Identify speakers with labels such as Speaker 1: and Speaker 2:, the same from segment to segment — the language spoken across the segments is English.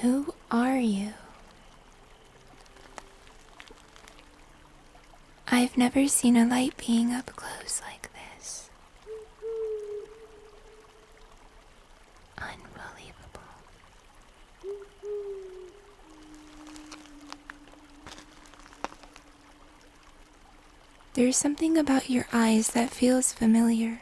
Speaker 1: Who are you? I've never seen a light being up close like this. Unbelievable. There's something about your eyes that feels familiar.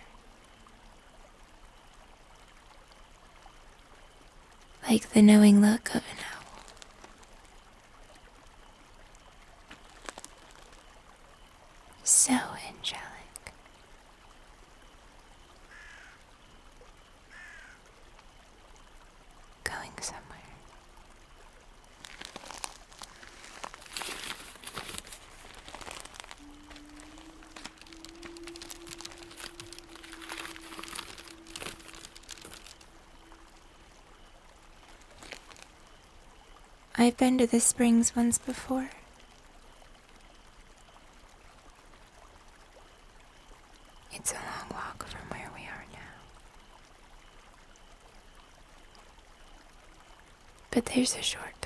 Speaker 1: Like the knowing look of an owl.
Speaker 2: So angelic. Going somewhere.
Speaker 1: I've been to the springs once before. It's a long walk from where we are now. But there's a shortcut.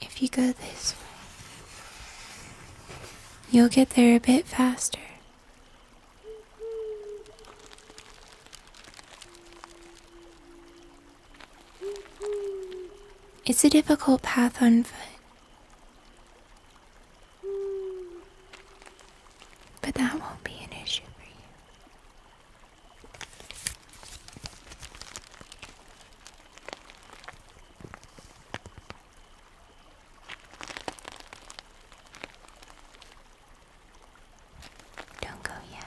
Speaker 1: If you go this way, you'll get there a bit faster. It's a difficult path on foot. But that won't be an issue for you. Don't go yet.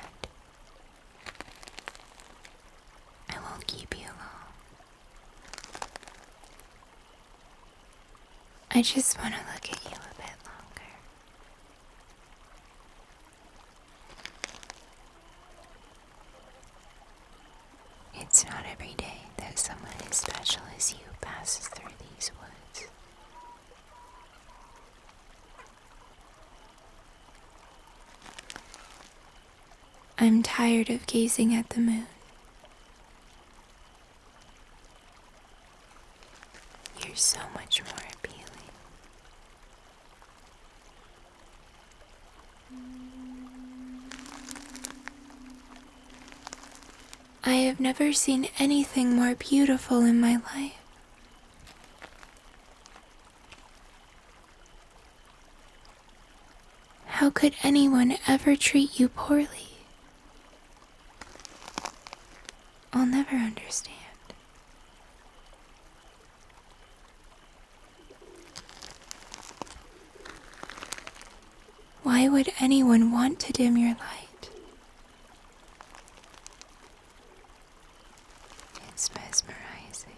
Speaker 1: I will keep you I just want to look at you a bit longer. It's not every day that someone as
Speaker 2: special as you passes through these woods.
Speaker 1: I'm tired of gazing at the moon.
Speaker 2: You're so much more appealing.
Speaker 1: I have never seen anything more beautiful in my life. How could anyone ever treat you poorly? I'll never understand. Why would anyone want to dim your light? It's mesmerizing.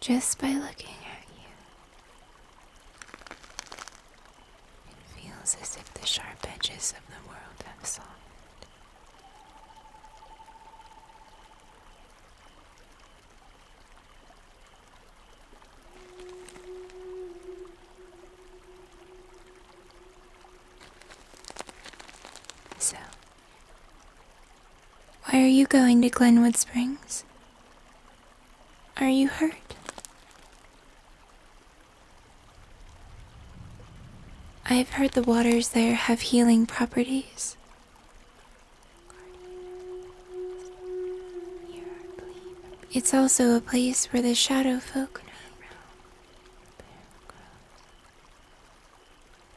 Speaker 1: Just by looking at you, it feels as if the sharp edges of the world have softened. So, why are you going to Glenwood Springs? Are you hurt? I've heard the waters there have healing properties. It's also a place where the shadow folk roam.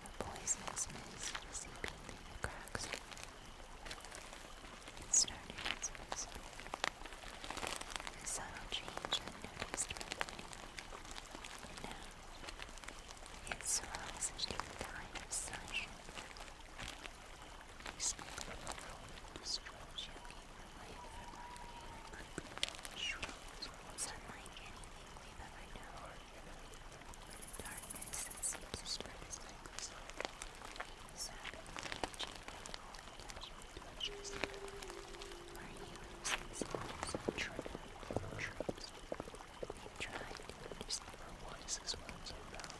Speaker 1: The poisonous
Speaker 2: mist seeping through the cracks. It started as change unnoticed by many. it swells into a kind of silence. These people alone destroy shocking the life from our pain. Shrubs are unlike anything we've ever known. Darkness that seems to spread its necklace like surrounding the kitchen and all the judgment touches. Our heroes themselves are true troops. They've tried to understand. Our wisest ones are bound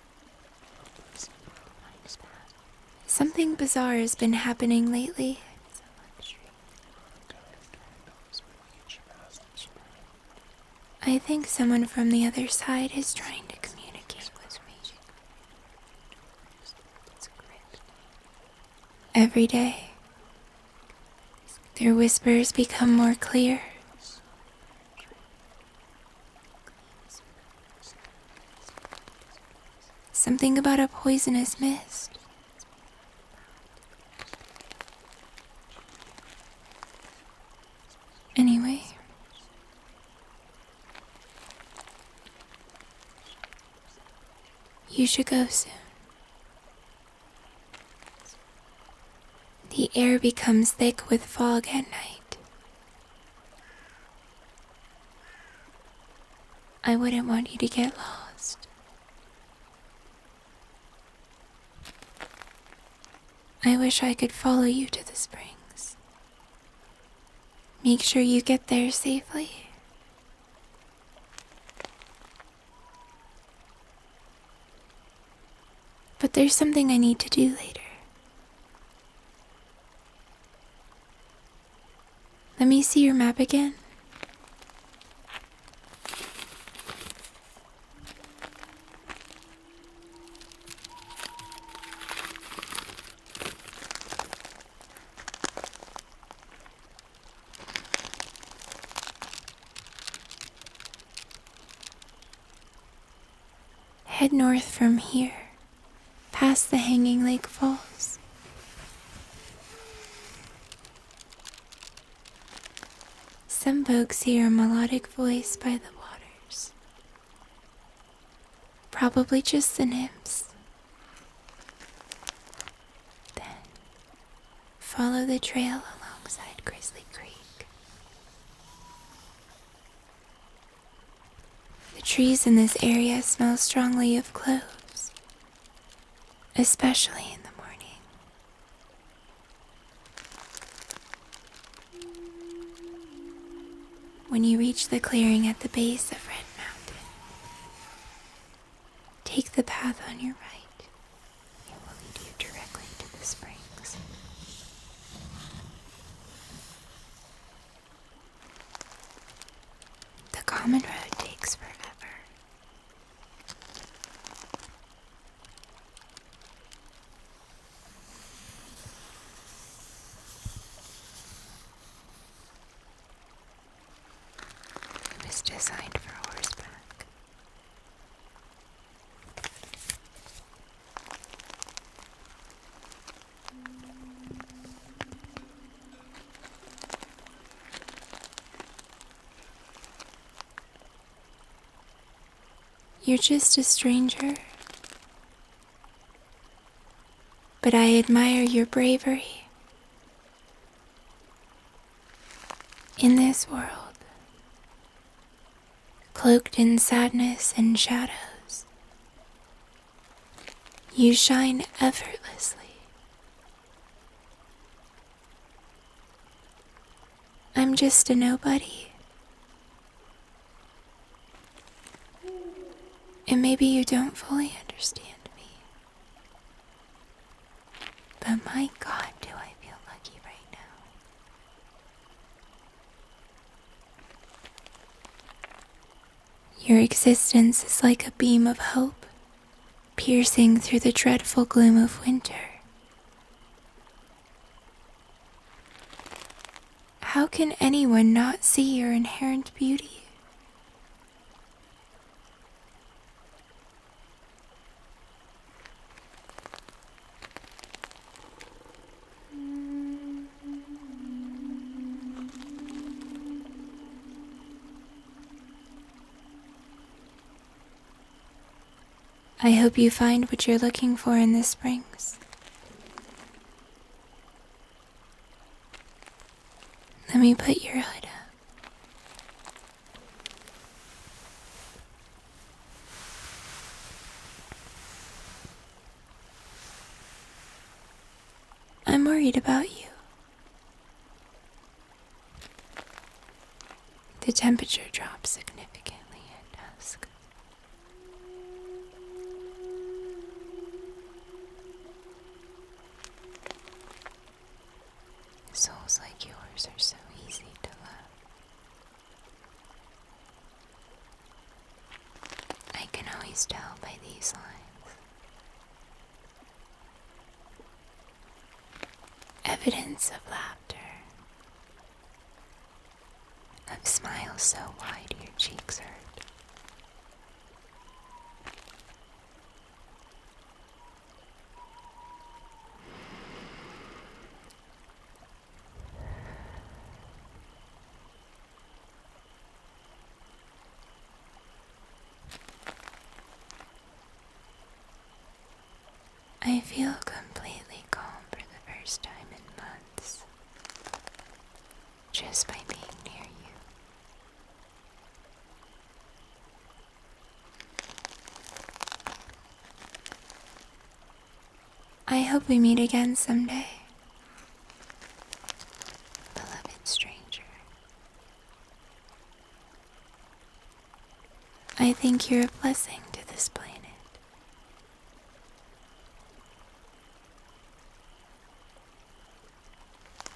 Speaker 1: Something bizarre has been happening lately. I think someone from the other side is trying to communicate with me. Every day, their whispers become more clear. Something about a poisonous mist. Anyway. You should go soon. The air becomes thick with fog at night. I wouldn't want you to get lost. I wish I could follow you to the springs. Make sure you get there safely. But there's something I need to do later. Let me see your map again. Head north from here past the hanging lake falls. Some folks hear a melodic voice by the waters, probably just the nymphs. Then follow the trail alongside Grizzly Creek. The trees in this area smell strongly of cloves, especially in the morning. When you reach the clearing at the base of Red Mountain, take the path on your right. It will lead you directly to the springs.
Speaker 2: The common road takes forever. It was designed for horseback.
Speaker 1: You're just a stranger. But I admire your bravery. In this world, cloaked in sadness and shadows, you shine effortlessly. I'm just a nobody. And maybe you don't fully understand me. But my god, do I feel lucky right now. Your existence is like a beam of hope, piercing through the dreadful gloom of winter. How can anyone not see your inherent beauty? Mm. I hope you find what you're looking for in the springs. Let me put your hood up. I'm worried about you. The temperature drops significantly at dusk.
Speaker 2: Souls like yours are so easy to love.
Speaker 1: I can always tell by these lines. Evidence of laughter, of smiles so wide your cheeks hurt. I feel completely calm for the first time in months
Speaker 2: just by being near you.
Speaker 1: I hope we meet again someday.
Speaker 2: Beloved stranger,
Speaker 1: I think you're a blessing to this planet.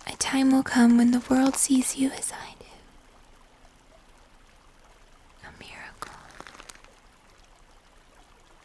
Speaker 1: A time will come when the world sees you as I do. A miracle.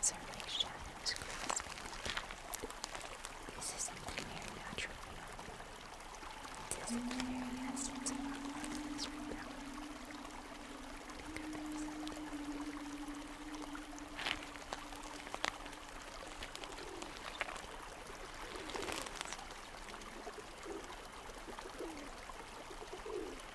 Speaker 2: As her like shadows grasping the ground. This isn't the mere natural phenomenon. It isn't the very essence of our life that is repelled. Think of it as something. As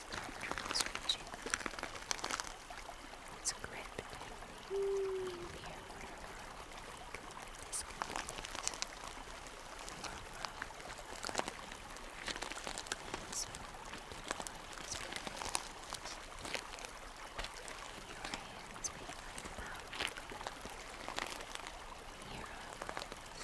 Speaker 2: stop transmission. It's great between me and the airport This your hands may like about Europe,